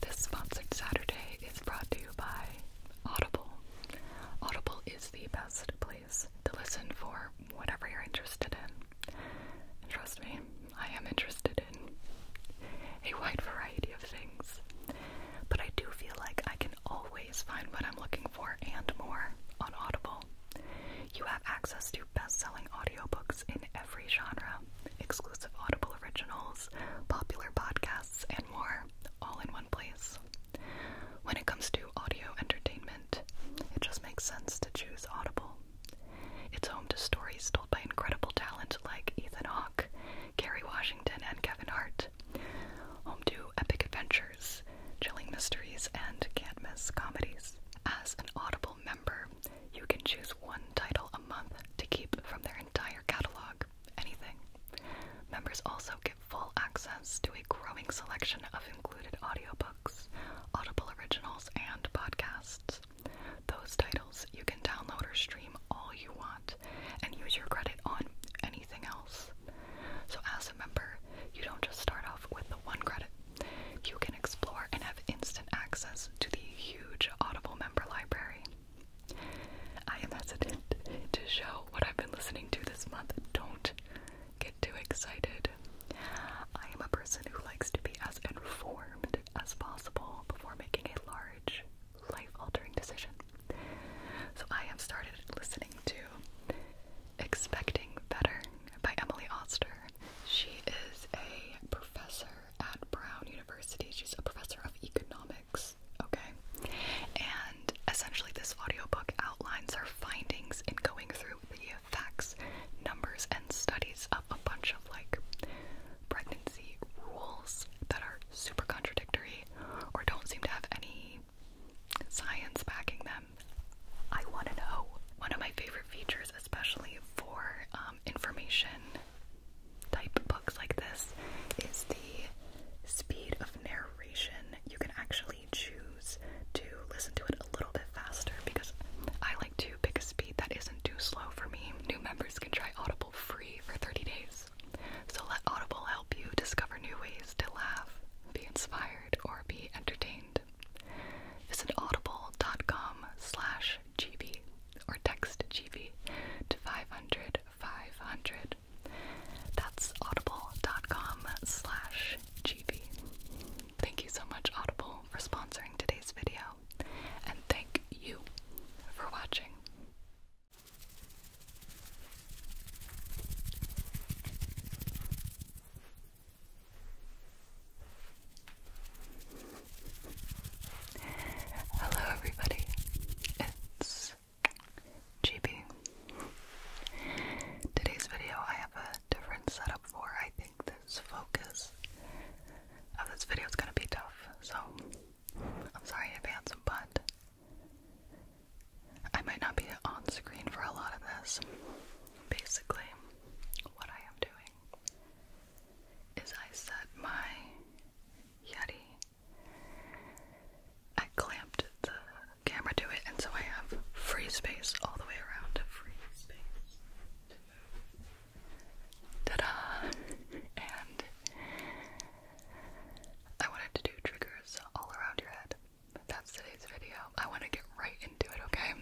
This sponsored Saturday is brought to you by Audible. Audible is the best place to listen for whatever you're interested in. trust me, I am interested in a wide variety of things. But I do feel like I can always find what I'm looking for and more on Audible. You have access to best selling audiobooks in every genre, exclusive Audible originals, popular podcasts, and more, all in one place. When it comes to audio entertainment, it just makes sense to choose Audible. It's home to stories told by incredible talent like Ethan Hawke, Kerry Washington, and Kevin Hart. Home to epic adventures, chilling mysteries, and can't miss comedies. As an Audible member, you can choose one title month to keep from their entire catalog anything. Members also get full access to a growing selection of included audiobooks, Audible originals, and podcasts. Those titles you can download or stream all you want and use your credit on anything else. So, as a member, you don't just start off with the one credit. You can explore and have instant access to the huge Audible member library. I am hesitant to show what I've been listening to this month. Don't get too excited. I am a person who likes to be as informed as possible before making a large, life altering decision. So I have started listening to Expecting Better by Emily Oster. She is a professor at Brown University. She's a professor of economics, okay? And essentially, this audio book outlines her findings in going through the facts, numbers, and studies of a bunch of like pregnancy rules that are super contradictory or don't seem to have any science backing them. I want to know. One of my favorite features, especially for um, information type books like this is the speed of narration. You can actually choose to listen to it a little bit faster because I like to pick a speed that isn't too slow for me. New members can try Audible free for 30 days. So let Audible help you discover new ways to laugh, be inspired, or be entertained. Visit audible.com slash GB or text Chibi to 500 500. That's audible.com slash Chibi. Thank you so much, Audible, for sponsoring today's video, and thank you for watching. Hello, everybody. It's GB. Today's video, I have a different setup for. I think this focus of this video is gonna be tough, so I'm sorry in advance, but I might not be on screen for a lot of this. Basically, what I am doing is I set my Yeti. I clamped the camera to it, and so I have free space all the way around. Free space Ta da! And I wanted to do triggers all around your head. That's today's video. I want to get right into it, okay?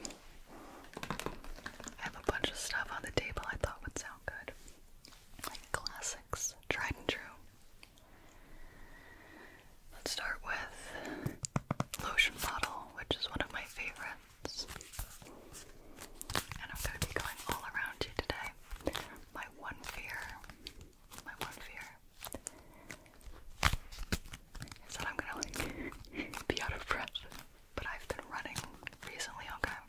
I have a bunch of stuff on the table I thought would sound good like classics, tried and true. Let's start with Lotion Bottle, which is one of my favorites. And I'm going to be going all around you today. My one fear, my one fear is that I'm going to like be out of breath. But I've been running recently, okay?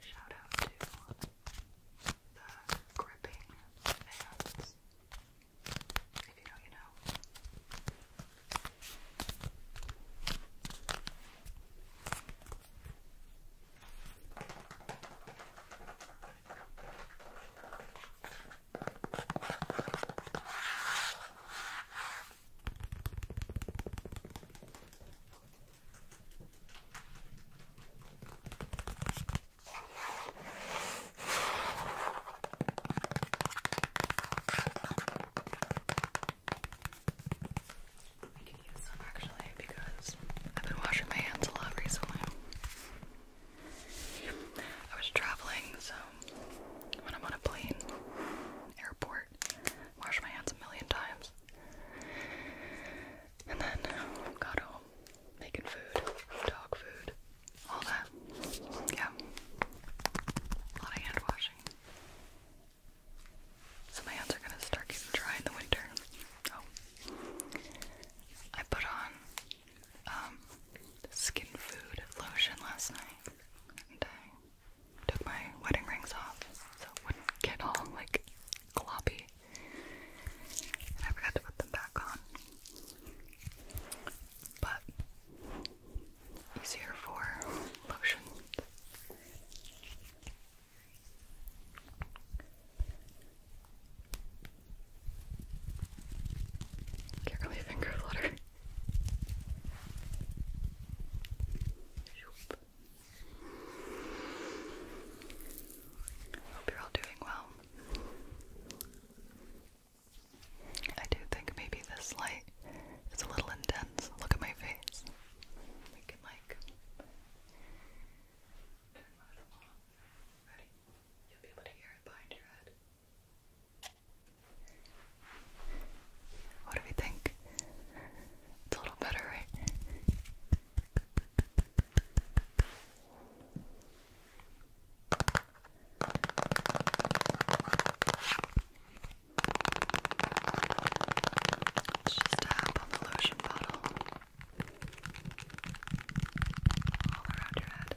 Shout out to the gripping fans. If you know, you know. I can use some actually because I've been washing my hands a lot recently. I was traveling, so when I'm on a plane, airport, wash my hands a million times. And then um, got home, making food, dog food, all that. Yeah. A lot of hand washing. So my hands are gonna start getting dry in the winter. Oh. I put on um, skin food lotion last night, and I took my wedding rings off so it wouldn't get all like gloppy, and I forgot to put them back on. But easier for lotion. Can't really finger flutter. Hope you're all doing well. I do think maybe this light is a little intense. Look at my face. We can like turn that off. Ready? You'll be able to hear it behind your head. What do we think? It's a little better, right? just tap on the lotion bottle all around your head.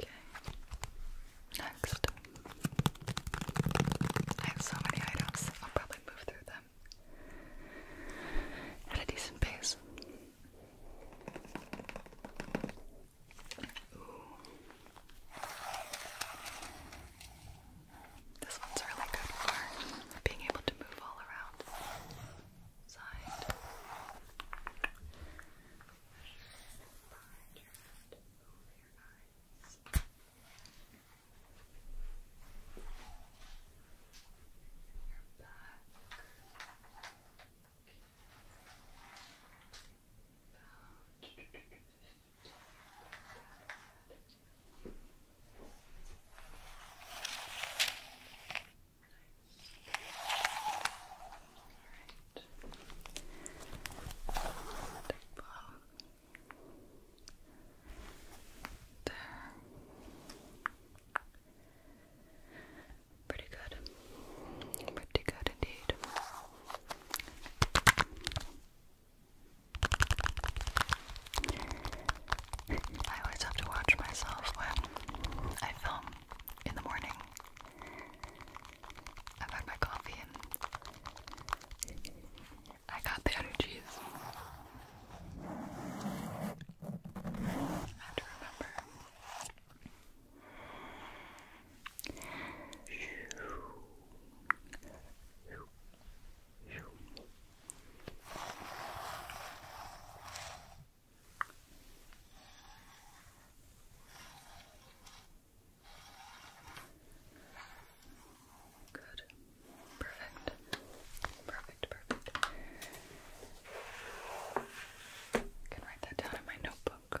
Okay. Next. I have so many items. I'll probably move through them at a decent pace. This one's really good for being able to move all around. Side. Behind your head, over your eyes. Your back. Okay. About Nice all right. Big blow. There. Pretty good. Pretty good indeed. I always have to watch myself when I film in the morning I've had my coffee and I got the energies. have to remember. Good. Perfect. Perfect, perfect. can write that down in my notebook.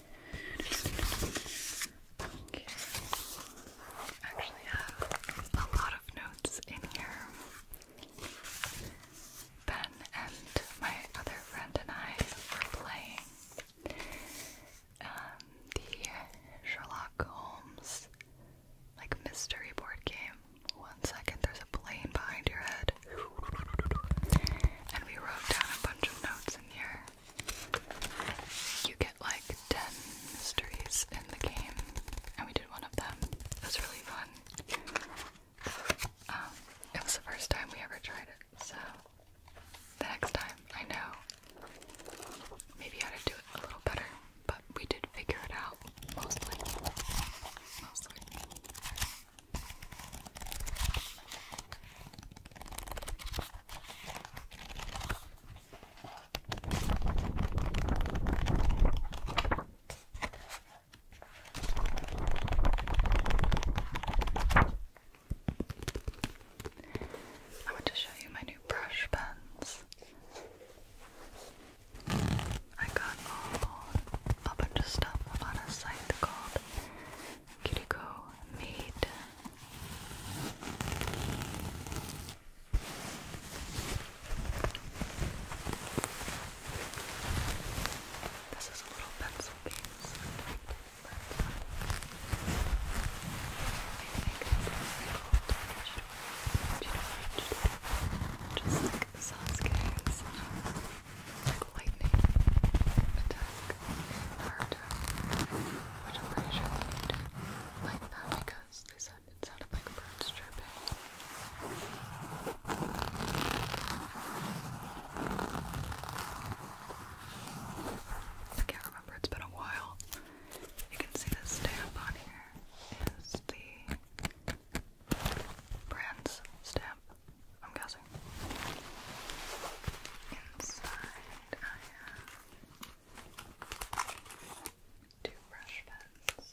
I actually have a lot of notes in here. Ben and my other friend and I were playing um, the Sherlock Holmes like mystery board game. One second, there's a plane behind your head. And we wrote down a bunch of notes here. You get like 10 mysteries in the game, and we did one of them. That was really fun. Um, it was the first time we ever tried it, so the next time I know maybe how to do it a little better, but we did figure it out mostly. Mostly. I want to show you my new brush pens. I got a bunch of stuff on a site called Kiriko made. This is a little pencil piece. But I think it's just like Sasuke and Sasha lightning attack Naruto, which I'm pretty sure they like that because they said sounded like birds dripping. I can't remember, it's been a while. You can see the stamp on here is the brand's stamp. I'm guessing. Inside, I have two brush pens.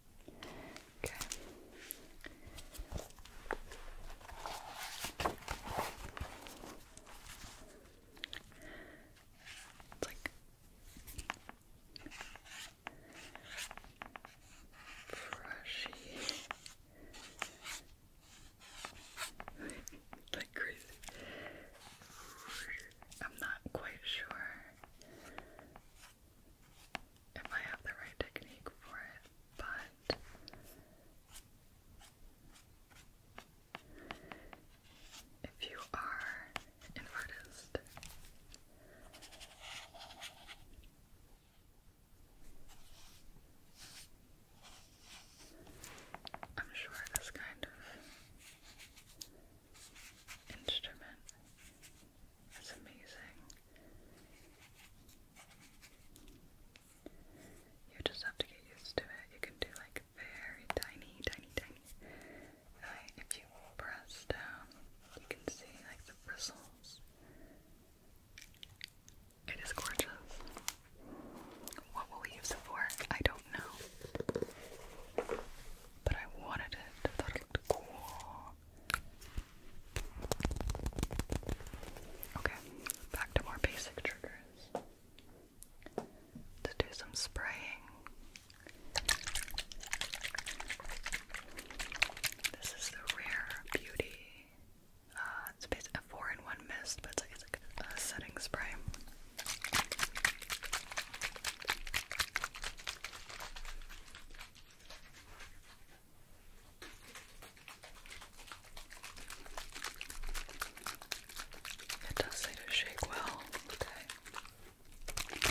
Okay. It's like brushy. like I'm not quite sure if I have the right technique for it, but if you are an artist, I'm sure this kind of instrument is amazing. You just have to get used to it. You can do like very tiny, tiny, tiny. if you press down, you can see like the bristles. It is gorgeous. What will we use it for? I don't know. But I wanted it. I looked cool. Okay, back to more basic triggers. let do some spraying. This is the Rare Beauty. Uh, it's basically a 4 in 1 mist, but it's like, it's like a setting spray. It does say to shake well. Okay. Okay,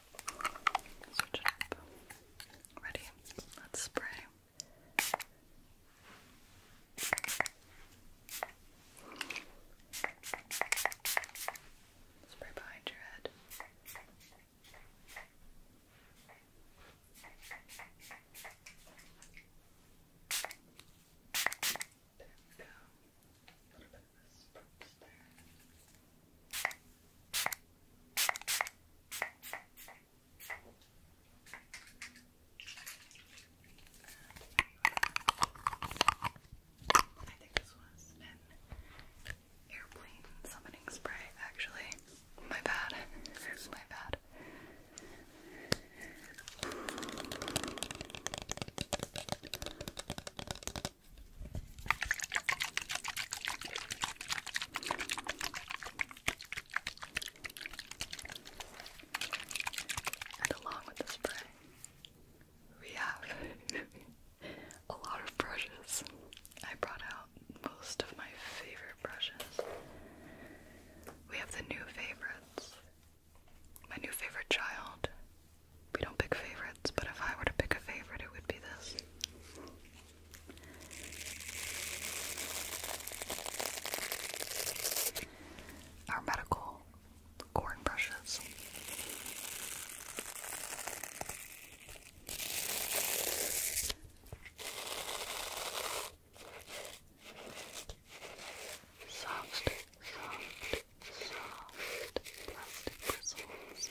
Switch it up. Ready? Let's spray. Spray behind your head. There we go. A little bit put the I think this was an airplane summoning spray, actually. My bad. My bad. And along with the spray, we have a lot of brushes. I brought out most of my favorite brushes. We have the new favorites. My new favorite child we don't pick favorites, but if I were to pick a favorite, it would be this. Our medical corn brushes. Soft, soft, soft plastic bristles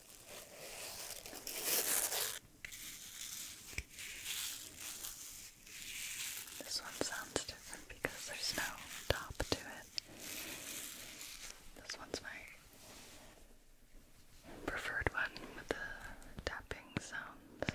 This one sounds different because there's no top to it. This one's my preferred one with the tapping sounds.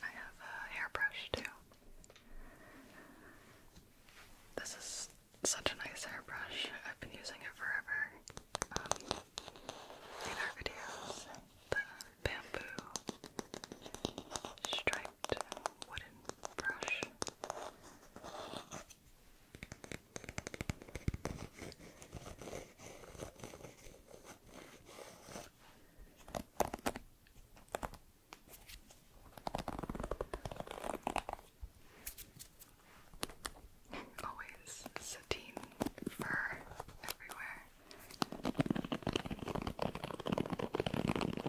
I have a hairbrush too. This is such a nice hairbrush. I've been using it forever. Um, in our videos, the bamboo striped wooden brush. Always sateen fur everywhere. Walk around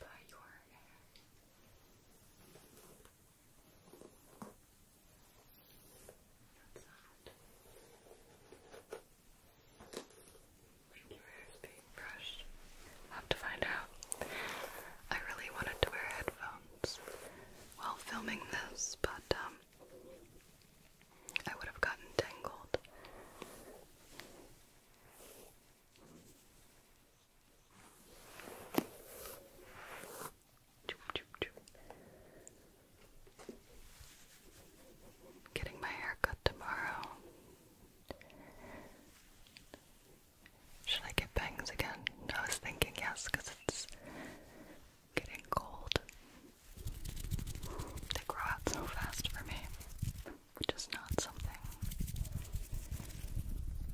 by your hair. That's that. your hair is being brushed, i have to find out. I really wanted to wear headphones while filming this, but um, I would have gotten tangled. Getting my hair cut tomorrow. Should I get bangs again? I was thinking yes, because it's getting cold. They grow out so fast for me which is not something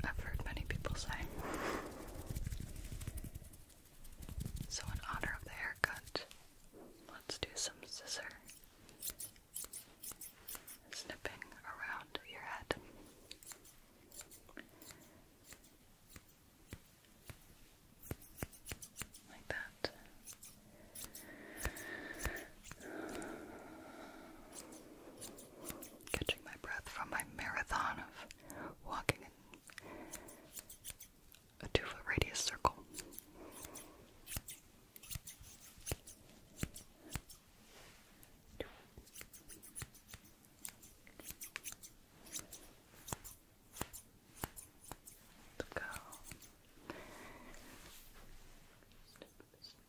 I've heard many people say. So, in honor of the haircut, let's do some scissor snipping around your head. Like that. Catching my breath from my marathon of walking in a two foot radius circle. Go. Snip, snip,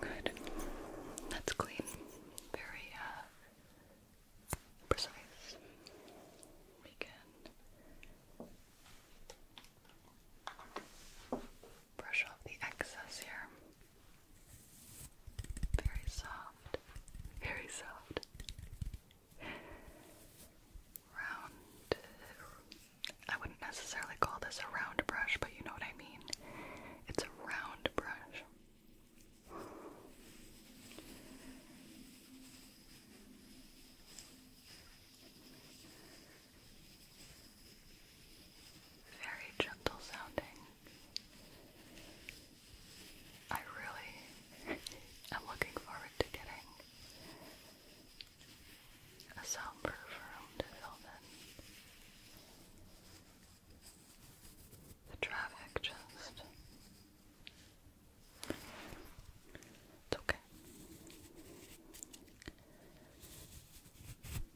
Good. That's clean. Very uh, precise. We can brush off the excess here. Very soft. Very soft round. I wouldn't necessarily call this a round brush, but you know what I mean. It's a round brush. Very gentle sounding. I really am looking forward to getting a soundproof room to film in. The traffic just. It's okay.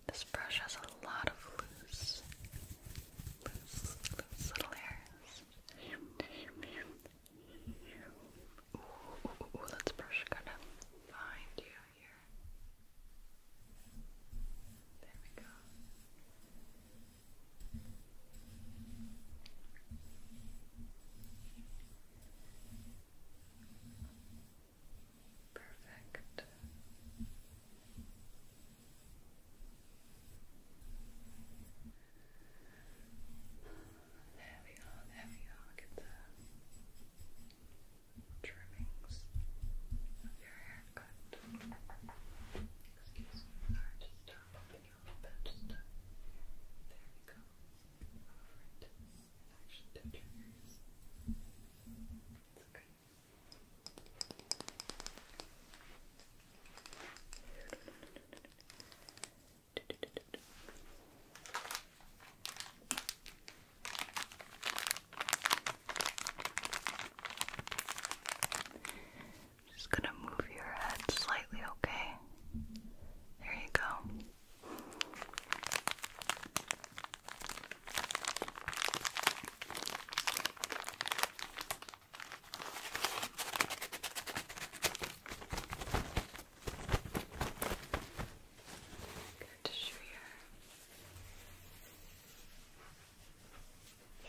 This brush has a lot of loose, loose, loose little hairs. Ooh, ooh, ooh, ooh, let's brush you. There we go. Perfect. There we are, there we the trimmings of your haircut. Excuse me, sorry, just start Just to, there we go. Over it. actually, touch your ears. It's okay. Just gonna move your head slightly, okay? There you go. Good tissue here. Okay.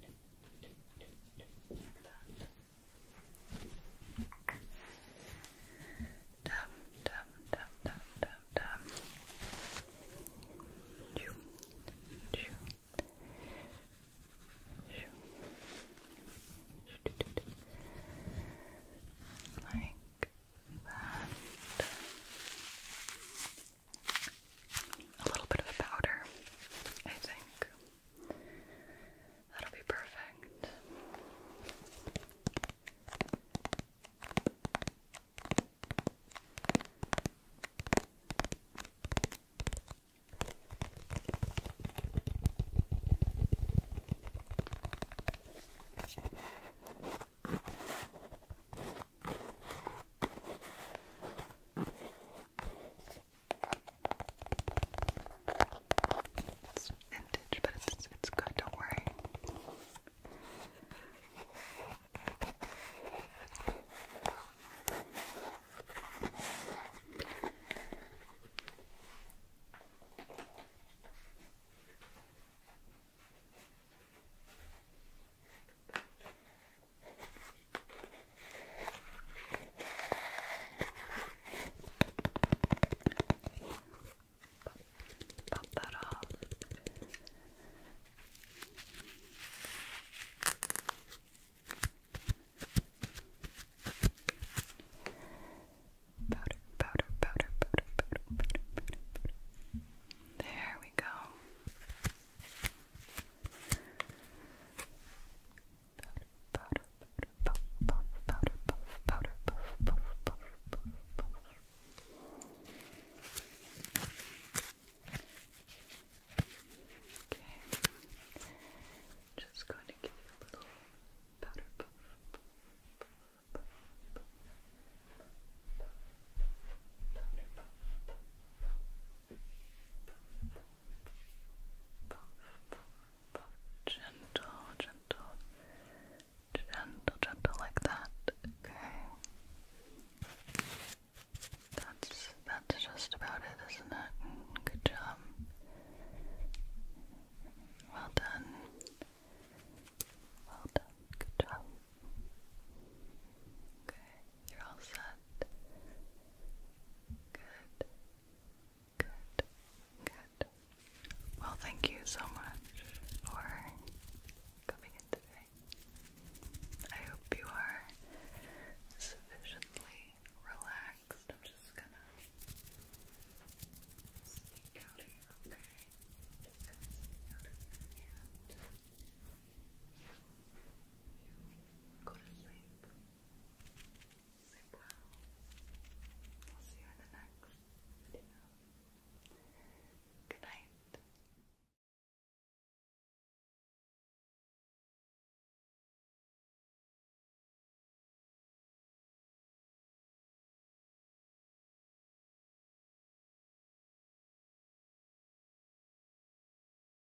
Dum, dum, dum, dum, dum, dum. Shoo, shoo, shoo. Like that. a little bit of a powder, I think. That'll be perfect. It's vintage, but it's it's good. Don't worry. Pop that Powder, powder, powder, powder, powder, powder, powder, powder. There we go powder, powder, puff, powder, puff, powder, puff, puff, puff, puff, puff. Okay, just going to give you a little powder puff, puff, puff, puff, puff, powder puff, puff, puff, puff, Gentle, gentle, gentle, gentle, like that. Okay. That's that's just about it, isn't it? Good job. Well done. Well done. Good job. Okay. You're all set. Good. Good. Good. Well, thank you so much for coming in today. I hope you are sufficiently relaxed. I'm just gonna sneak out of here, okay? Go to sleep. Sleep well. I'll see you in the next video. Good night.